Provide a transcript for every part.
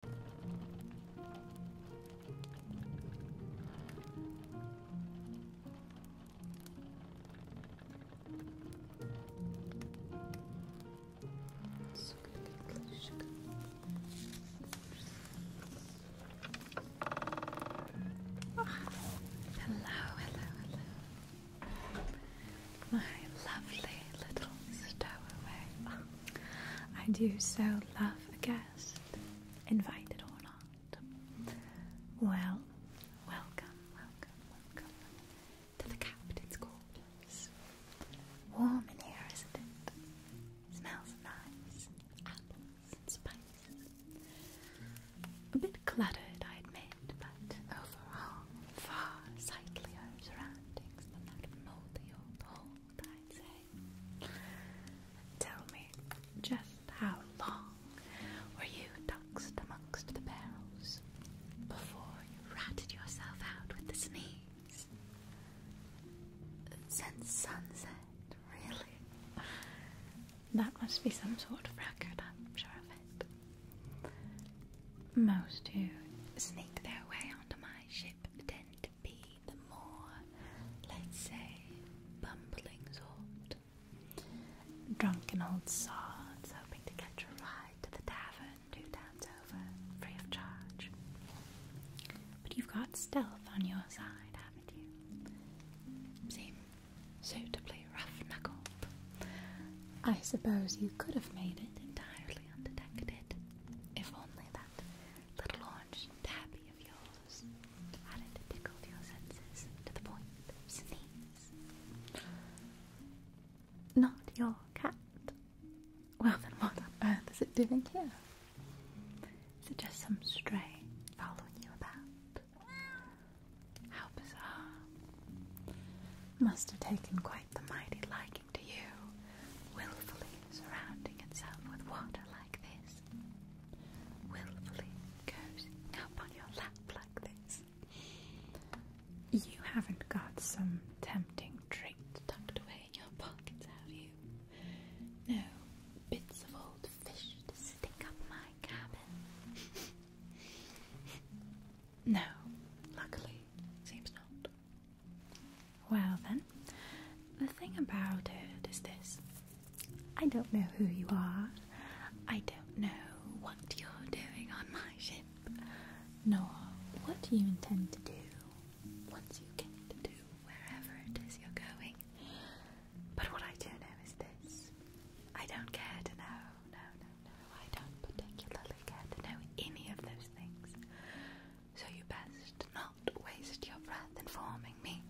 hello, hello, hello. My lovely little stowaway. I do so love a guest, invited or not. Well, welcome, welcome, welcome to the captain's quarters. Warm in here, isn't it? Smells nice, apples spices. A bit cluttered, I admit, but overall far sightlier surroundings than that mouldy old hall. Tell me just how long were you duxed amongst the barrels before you ratted yourself out with the sneeze? Since sunset, really? That must be some sort of record, I'm sure of it. Most who sneak their way onto my ship tend be the more, let's say, bumbling sort. Drunken old sods hoping to catch a ride to the tavern two towns over, free of charge. But you've got stealth on your side, haven't you? Seem suitably rough knuckled. I suppose you could have made it entirely undetected, if only that little orange tabby of yours added to tickled your senses to the point of sneeze. Not your cat. Well, then what on earth is it doing here? Is it just some stray following you about? How bizarre. Must have taken quite the mighty liking to you, willfully surrounding itself with water like this, willfully goes up on your lap like this. You haven't got some tempting drink tucked away in your pockets, have you? No bits of old fish to stick up my cabin. no, luckily, seems not. Well, then, the thing about it is this I don't know who you are, I don't know what you're doing on my ship, nor what you intend to do once you get to wherever it is you're going. But what I do know is this I don't care to know, no, no, no, I don't particularly care to know any of those things so you best not waste your breath informing me.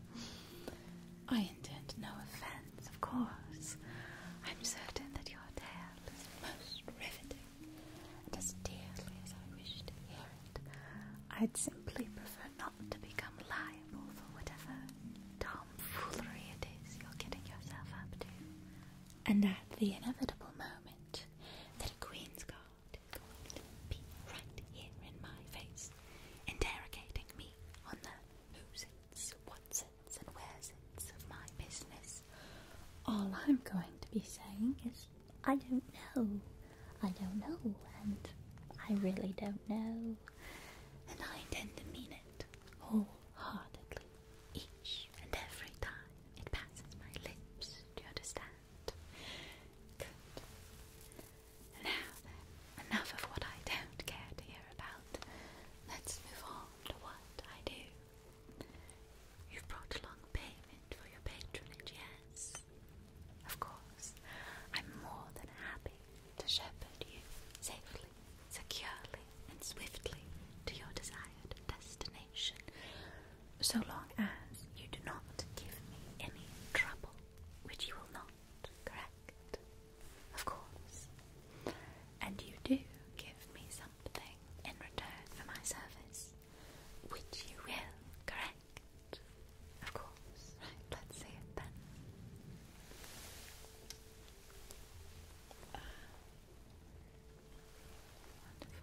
I intend no offense, of course. I'm certain that your tale is most riveting, and as dearly as I wish to hear it, I'd simply prefer not to become liable for whatever tomfoolery it is you're getting yourself up to. And at the inevitable moment that a queen's guard be right here in my face, interrogating me on the who's its, what's its, and where's its of my business. All I'm going to be saying is, I don't know, I don't know, and I really don't know. And I intend to mean it wholeheartedly each and every time. It passes my lips, do you understand? Now then, enough of what I don't care to hear about. Let's move on to what I do. You've brought along payment for your patronage, yes? Of course, I'm more than happy to shepherd you safely, securely, and swiftly to your desired destination so long as you do not give me any trouble, which you will not, correct? Of course. And you do give me something in return for my service, which you will, correct? Of course. Right, let's see it then. wonderful.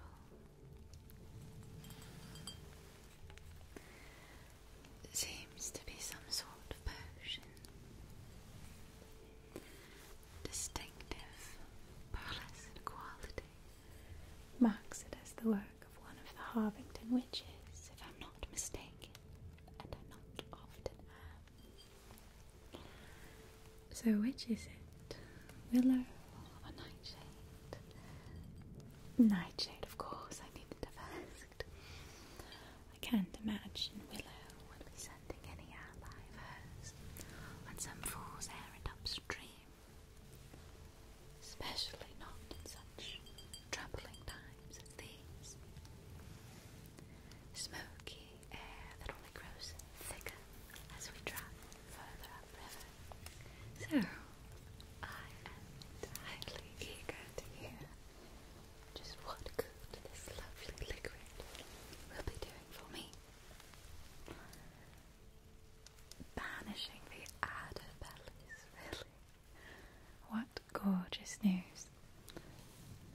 Seems to be some sort of potion. Distinctive, pearlescent quality. Marks it as the work of one of the Harvington witches, if I'm not mistaken, and I not often so, which is it? Willow or Nightshade? Nightshade, of course, I needed to first. I can't imagine Willow would be sending any ally of hers on some fool's errand upstream, especially not in such troubling times as these. Smoky air that only grows thicker as we travel. So, I am entirely eager to hear just what good this lovely liquid will be doing for me. Banishing the outer bellies, What gorgeous news.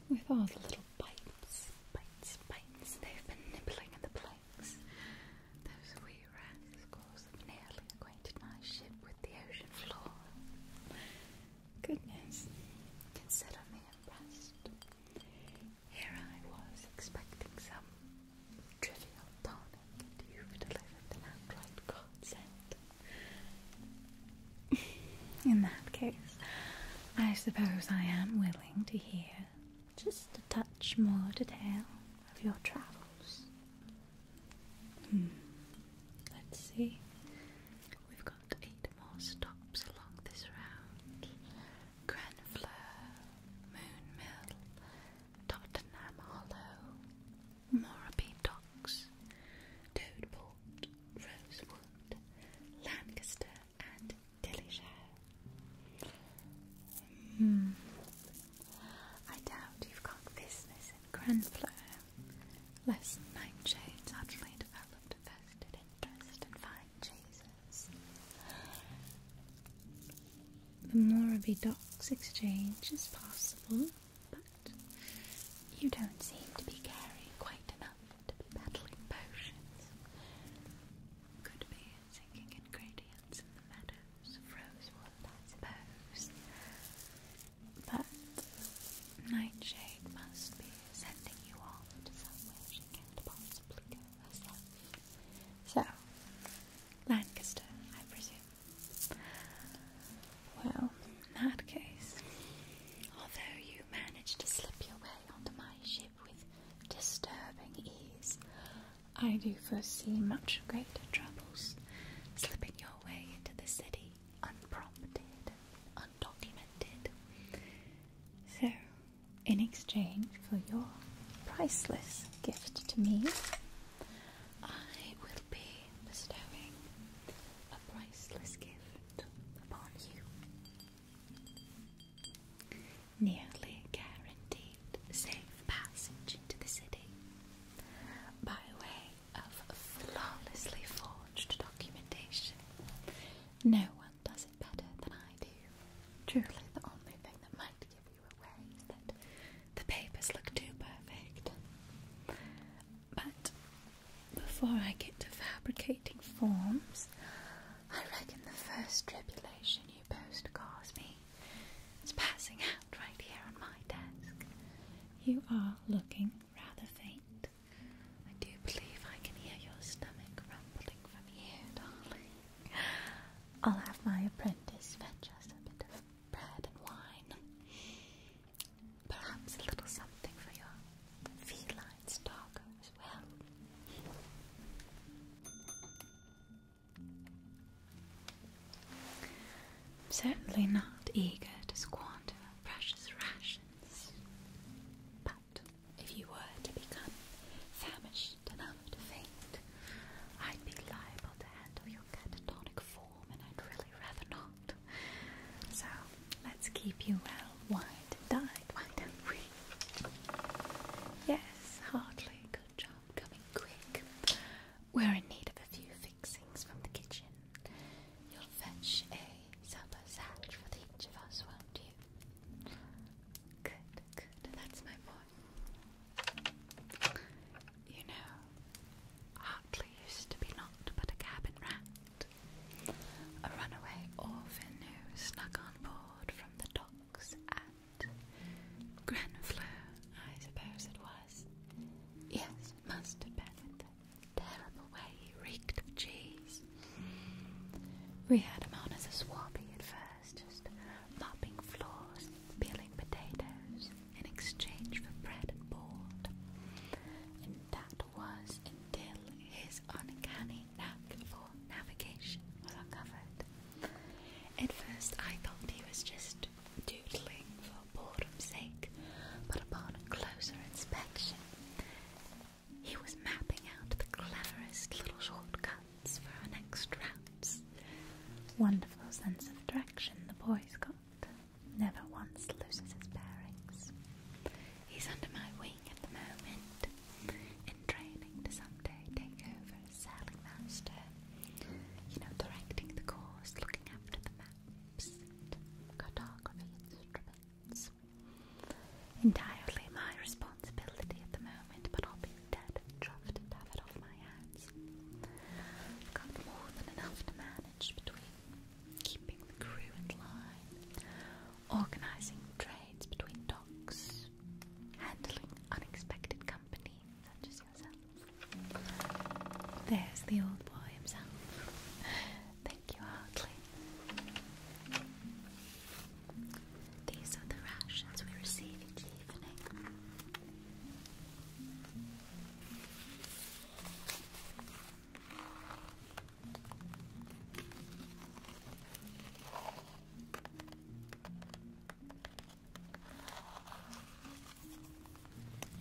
With all the little bites, bites, bites they've been nibbling in the plate. Those wee rascals have nearly acquainted my ship with the ocean floor. Goodness, consider me impressed. Here I was expecting some trivial tonic, you've delivered an outright godsend. In that case, I suppose I am willing to hear just a touch more detail of your travels. Hmm. Let's see. We've got eight more stops along this round. Grenfleur, Moonmill, Tottenham Hollow, Morabee Docks, Toadport, Rosewood, Lancaster, and delicious. Hmm. I doubt you've got business in Grenfell, lest nightshades utterly developed vested interest in fine cheeses. The Moraby Docks Exchange is possible, but you don't seem to be carrying quite enough to be battling potions. Could be singing in gradients in the meadows of rosewood, I But Nightshade must be sending you all to somewhere she can't possibly go So, Lancaster, I presume. Well, in that case, although you managed to slip your way onto my ship, with disturbing ease, I do foresee much greater troubles slipping your way into the city unprompted, undocumented. So, in exchange for your priceless gift to me, I will be bestowing a priceless gift upon you. Nearly guaranteed safe passage into the city by way of flawlessly forged documentation. No one does it better than I do. Truly, the only thing that might give you away is that the papers look too perfect. But before I get to fabricate completing forms. I reckon the first tribulation you post me is passing out right here on my desk. You are looking rather faint. I do believe I can hear your stomach rumbling from here, darling. I'll have my apprentice fetch us a bit of bread and wine. Perhaps a little something for your feline stalker. I'm certainly not eager to squander precious rations, but if you were to become famished enough to faint, I'd be liable to handle your catatonic form, and I'd really rather not. So let's keep you well, wide and died, why do Yes, hardly. Good job. Coming quick. We're in need of a few fixings from the kitchen. You'll fetch a supper sack for each of us, won't you? Good, good. That's my point. You know, Hartley used to be naught but a cabin rat, a runaway orphan who snuck on board from the dock at Grenfleur, I suppose it was. Yes, it must have been terrible way he reeked of cheese. We had him on as a swabby at first, just mopping floors, peeling potatoes in exchange for bread and board. And that was until his uncanny for navigation was uncovered. At first, I thought he was just doodling for boredom's sake, but upon closer inspection, he was mapping out the cleverest little shortcuts for our next routes. Wonderful sense of direction the boy's got. Never once loses his bearings. He's under my wing at the moment, in training to someday take over sailing master. You know, directing the course, looking after the maps, cartography instruments. Entirely my responsibility at the moment, but I'll be dead and chuffed off my hands. got more than enough to manage between keeping the crew in line, organizing trades between dogs, handling unexpected company such as yourself. There's the old boy himself. Thank you, Hartley. These are the rations we receive each evening.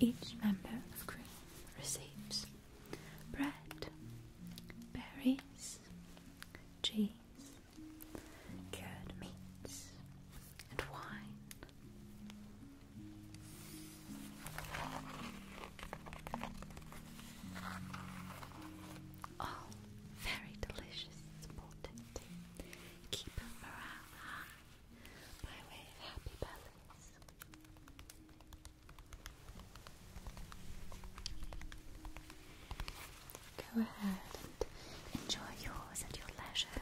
Each member of crew receives bread, berries, cheese, cured meats, and wine all oh, very delicious supportive tea. Keep morale high by way happy bellies. Go ahead and enjoy yours at your leisure.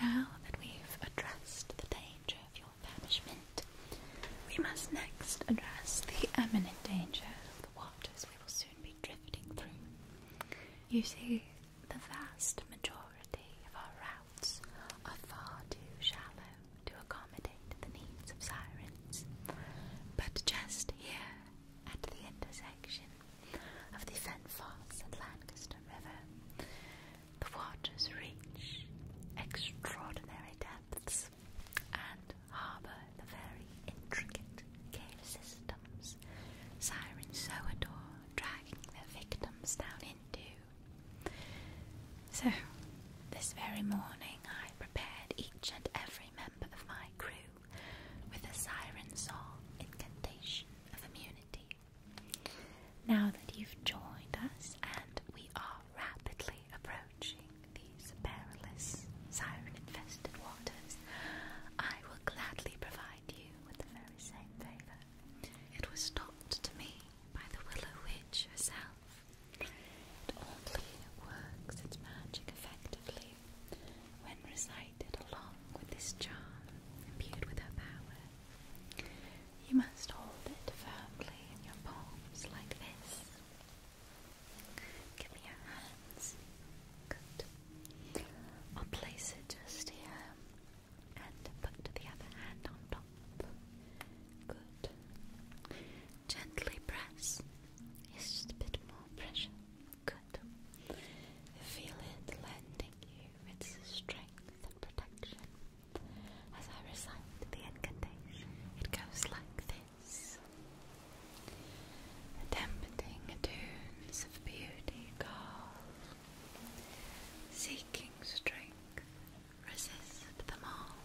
Now that we've addressed the danger of your we must next address the imminent danger of the waters we will soon be drifting through. You see, the vast majority of our routes are far too shallow to accommodate the needs of sirens. But just here, at the intersection of the Fenfoss and Lancaster River, the waters reach extraordinary depths and harbour the very intricate cave systems sirens so adore dragging their victims down into. So, this very morning I prepared each and every member of my crew with a siren song incantation of immunity. Now that you've joined us, and we are rapidly approaching these perilous siren infested waters, I will gladly provide you with the very same favour. It was taught to me by the Willow Witch herself. It only works its magic effectively when recited along with this charm imbued with her power. You must hold it firmly in your palms like this. Give me your hands. Good. I'll place it just here and put the other hand on top. Good. Gently press. just a bit more pressure. Good. Feel it lending you its strength protection. As I recite the incantation, it goes like this. Attempting tunes of beauty call, seeking strength, resist them all.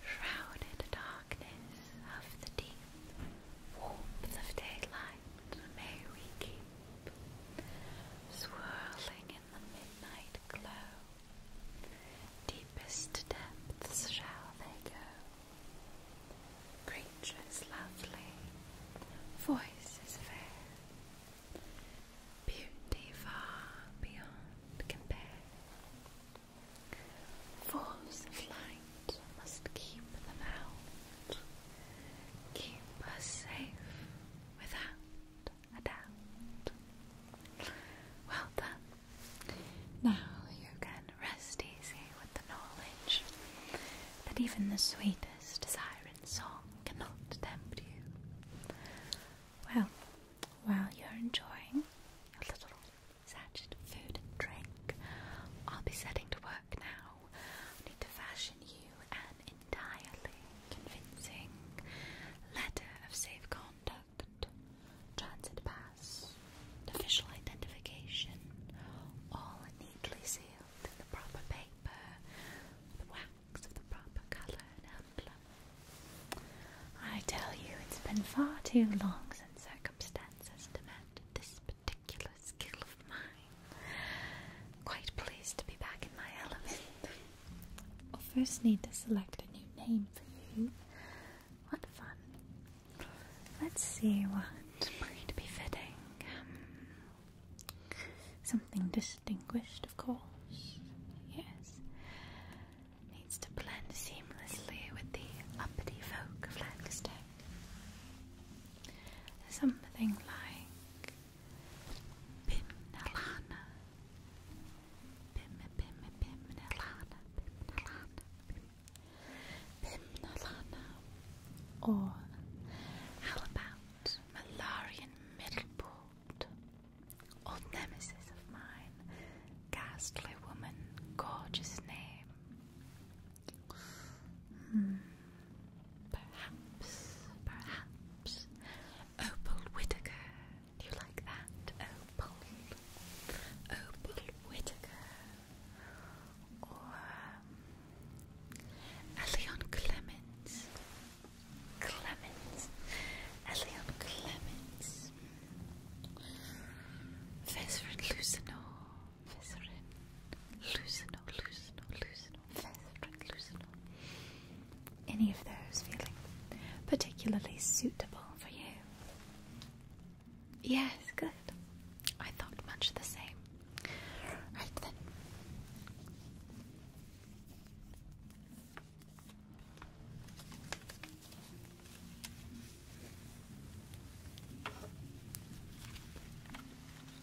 Shrouded darkness of the deep, warmth of daylight may we keep. Swirling in midnight glow. Deepest depths shall they go. Creatures lovely, voices fair, beauty far beyond compare. Forms of light must keep them out, keep us safe without adapt. Well done. Now you can rest easy with the knowledge that even the sweetest siren song cannot tempt you. Well, while you're enjoying a little sachet of food and drink, I'll be setting to work now. need to fashion you an entirely convincing letter of safe conduct, transit pass, official identification, all neatly sealed in the proper paper, the wax of the proper colour and emblem. I tell you, it's been far too long since circumstances demanded this particular skill of mine i quite pleased to be back in my element. will first need to select a new name for you. What fun. Let's see what might be fitting. something distinguished, of course. Yes. Needs to blend seamlessly with the uppity folk of Lancaster. Something like Pimnalana. Pim pim pimnalana. Pimnalana. Pimnalana. Or how about Malarian Middleport? Old nemesis of mine. Ghastly woman. Gorgeous name. Hmm. Perhaps, perhaps. Opal Whitaker. Do you like that? Opal. Opal Whitaker. Or um, Elion Clements. Clements. Elion Clements. Veserin Lucino. Veserin. Lucino, Lucino, any of those feeling particularly suitable for you? Yes, good. I thought much the same. Right then.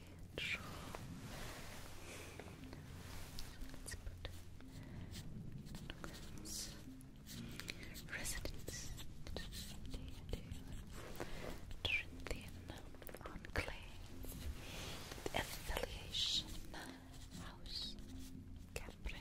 angel. let residence. Residence. Trinthian enclave. Affiliation. House. Capri.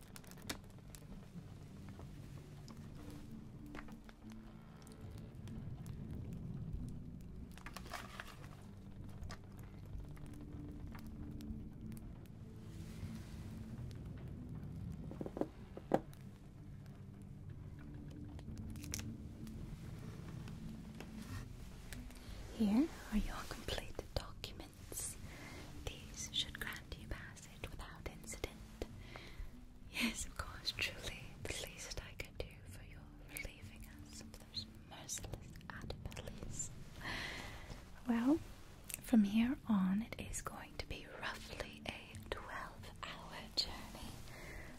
Here are your completed documents. These should grant you passage without incident. Yes, of course, truly, the least I could do for your relieving us of those merciless adipalies. Well, from here on, it is going to be roughly a 12 hour journey,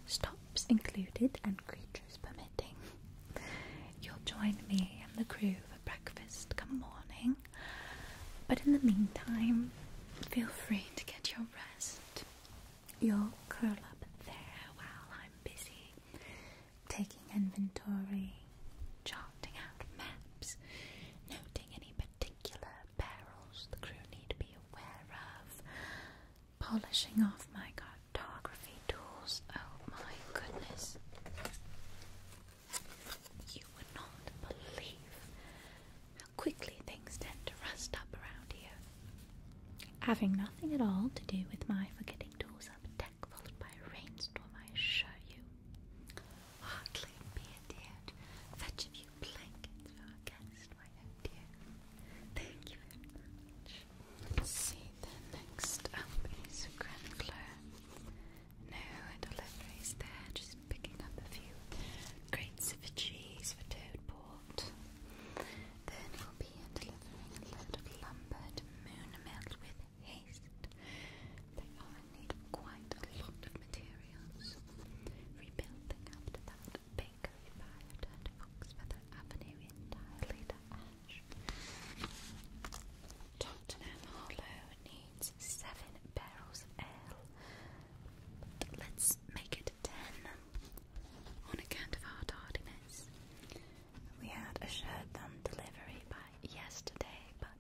stops included and creatures permitting. You'll join me and the crew for breakfast come morning, but in the meantime, feel free to get your rest. You'll curl up there while I'm busy taking inventory, charting out maps, noting any particular perils the crew need to be aware of, polishing off my cartography tools. Oh my goodness. You would not believe how quickly things tend to rust up around here. Having nothing at all to do with my forgetting tools up deck followed by a rainstorm, I assure you. Hardly be endeared. Fetch a few blankets for our guest, my dear. Thank you very much. see, then next up is Grenfleur. No deliveries there, just picking up a few crates of cheese for Toadport. Then we'll be delivering a load of lumber to Moonmelt with haste. They are need quite a lot of materials. Rebuilding after that bakery fire turned Foxfeather Avenue entirely Tottenham Harlow needs seven barrels of ale. let's make it ten on account of our tardiness. We had assured them delivery by yesterday, but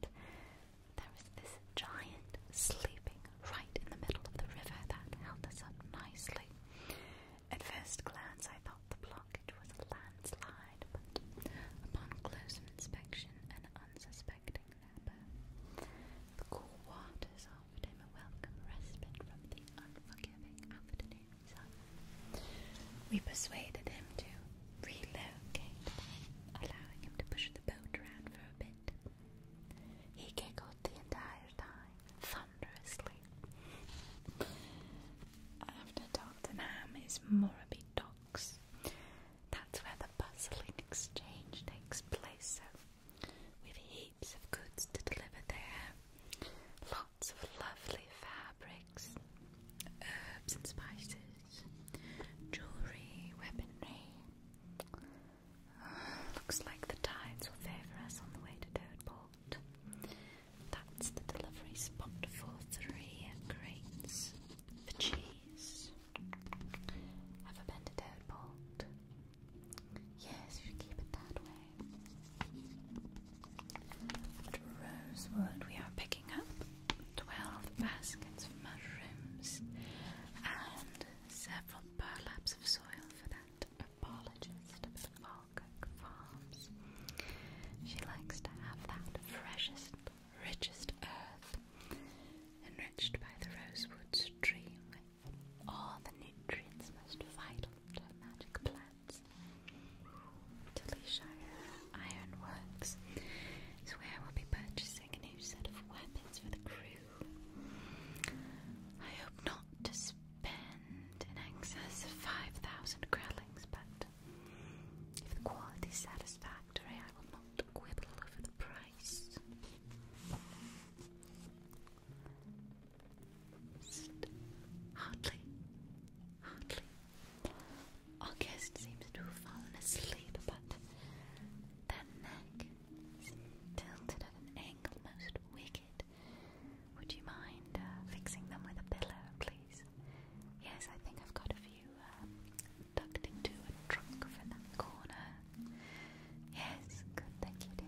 there was this giant sleeping right in the middle of the river that held us up nicely. At first glance, I thought the blockage was a landslide upon closer inspection, an unsuspecting napper. The cool waters offered him a welcome respite from the unforgiving afternoon sun. We persuaded him to relocate, allowing him to push the boat around for a bit. He giggled the entire time, thunderously. After Dr. is Morabby Dog that's where the bustling exchange takes place, so with heaps of goods to deliver there, lots of lovely fabrics, herbs and spices, jewellery, weaponry. Looks like the tides will favour us on the way to Dodeport. That's the delivery spot for three crates the cheese. Have a bend bolt. Yes, you keep it that way. rosewood, we are picking up 12 baskets of mushrooms and several burlaps of soil for that apologist about Falkirk Farms. She likes to have that freshest richest earth, enriched by the rosewood stream with all the nutrients most vital to magic plants. Tillyshire Iron is where we'll be purchasing a new set of weapons for the crew. I hope not to spend in excess of 5,000 growlings, but if the quality is satisfactory, I will not quibble over the price. Hardly, hardly. Our guest seems to have fallen asleep, but their neck tilted at an angle most wicked. Would you mind uh, fixing them with a pillow, please? Yes, I think I've got a you um, tucked into a corner. Yes, good, thank you, dear.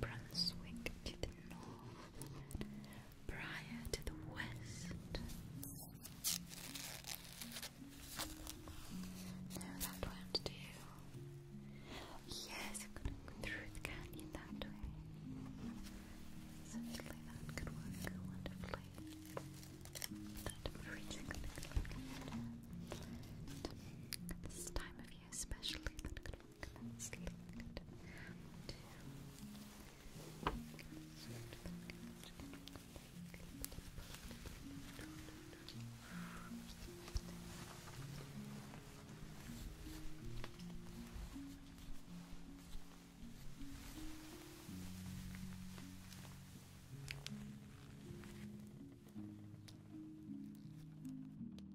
Brunswick to the north, Briar to the west. No, that won't do. Yes, I'm gonna go through the canyon that way. Certainly that could work wonderfully. That really could work. At this time of year especially, look, let's look. Good.